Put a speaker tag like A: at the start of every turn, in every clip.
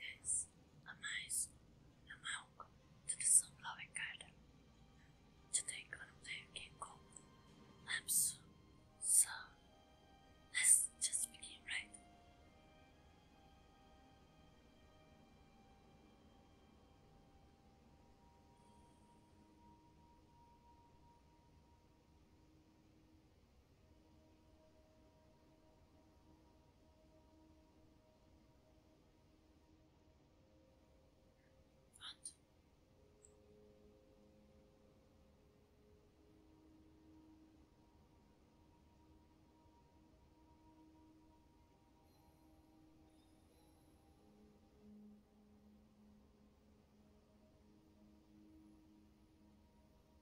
A: Guys, a nice and welcome to the loving? Garden. Today I'm gonna play a game called Lapsu. So let's just begin right front.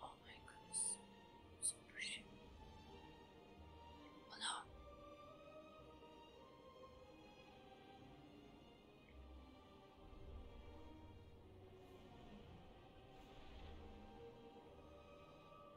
A: Oh my goodness, so pretty. Oh no.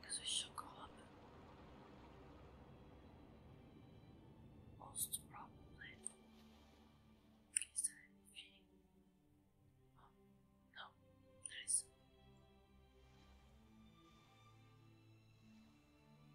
A: Because we should go up. Most probably. Is there anything? Oh, no, there isn't.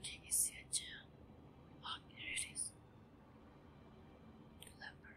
A: Okay, you see a gem. Oh, here it is. Leopard.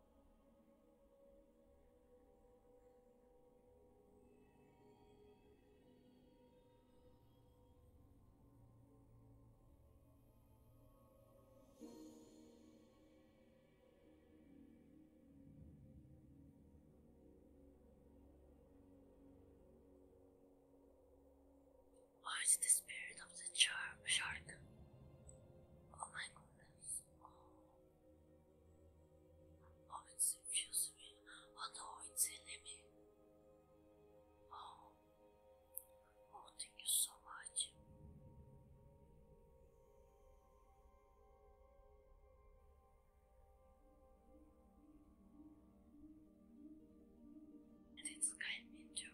A: Or the spirit of the shark? Oh my goodness. Oh. Powiedz Sylwiusowi o ojcu Limy. Oh, oh, thank you so much. And it's kind of too.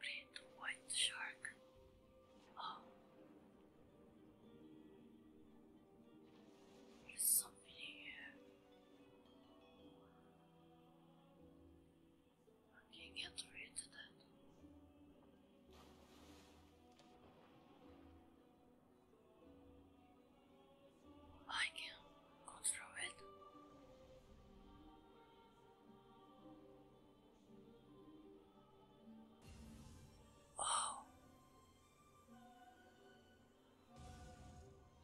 A: Red white shark. Oh, there's something here. I can get rid of that. I can control it. Oh,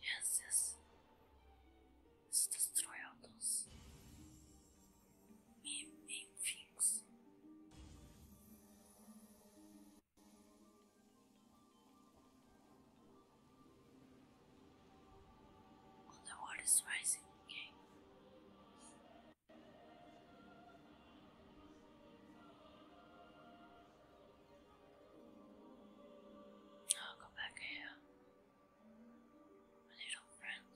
A: yes, yes. Let's destroy all those things the water is rising. Okay. I'll go back here. My little friend.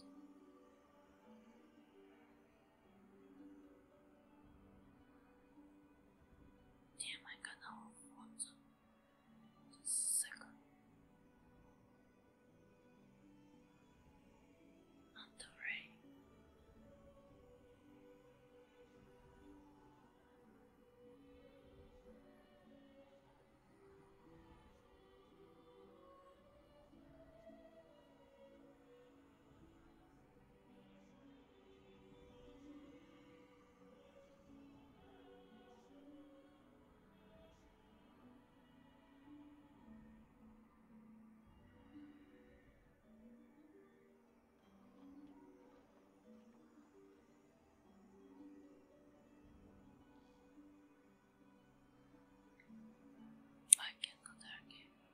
A: Damn, I got our phones. Just a second. the rain. Fark etmedi erkeği.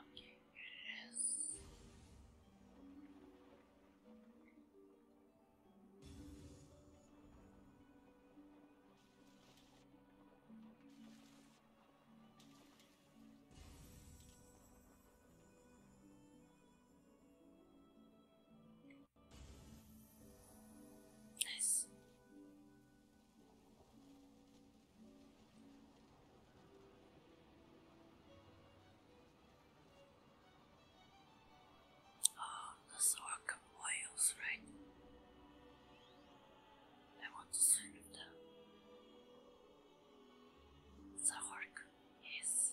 A: Okay, here it is. Nice. Oh, those are whales, right? I want to swim them. The yes.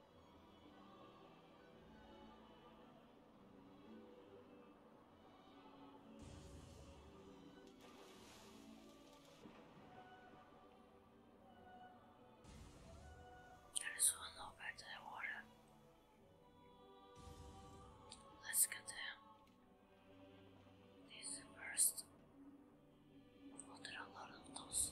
A: There's one over the water. Let's get them. This first. Oh, there are a lot those.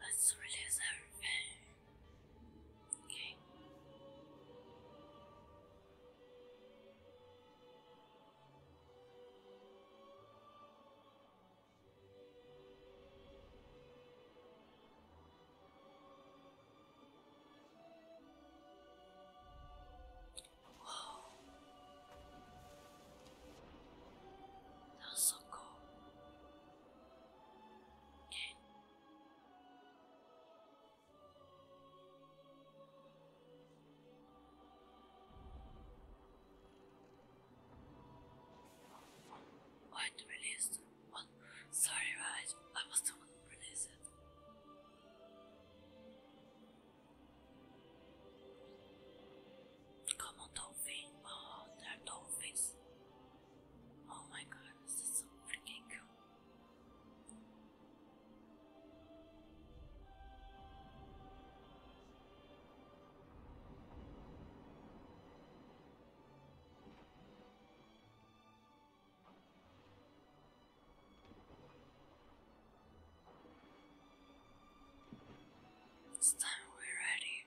A: Let's release everything. Okay. Whoa. That's so cool. What released? What? Sorry, right? I was the one who it. Come on, dolphin. Oh, they're dolphins. Oh my god, this is so freaking cool. This time we're ready.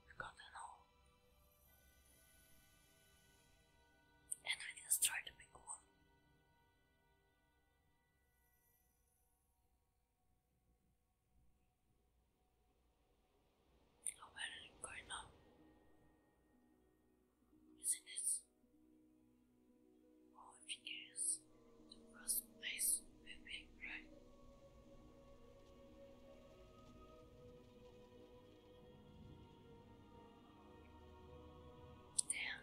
A: forgotten all. And I just try to pick one. How bad is going now? Isn't it? Oh, if you guess, the first place with me, right? Damn.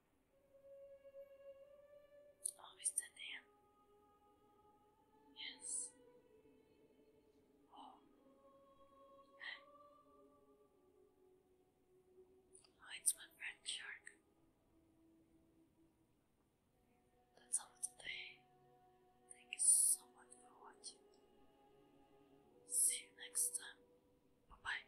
A: Always oh, the name. Yes. Oh. Oh, it's my friend Shark. That's all today. Thank you so much for watching. See you next time. Bye bye.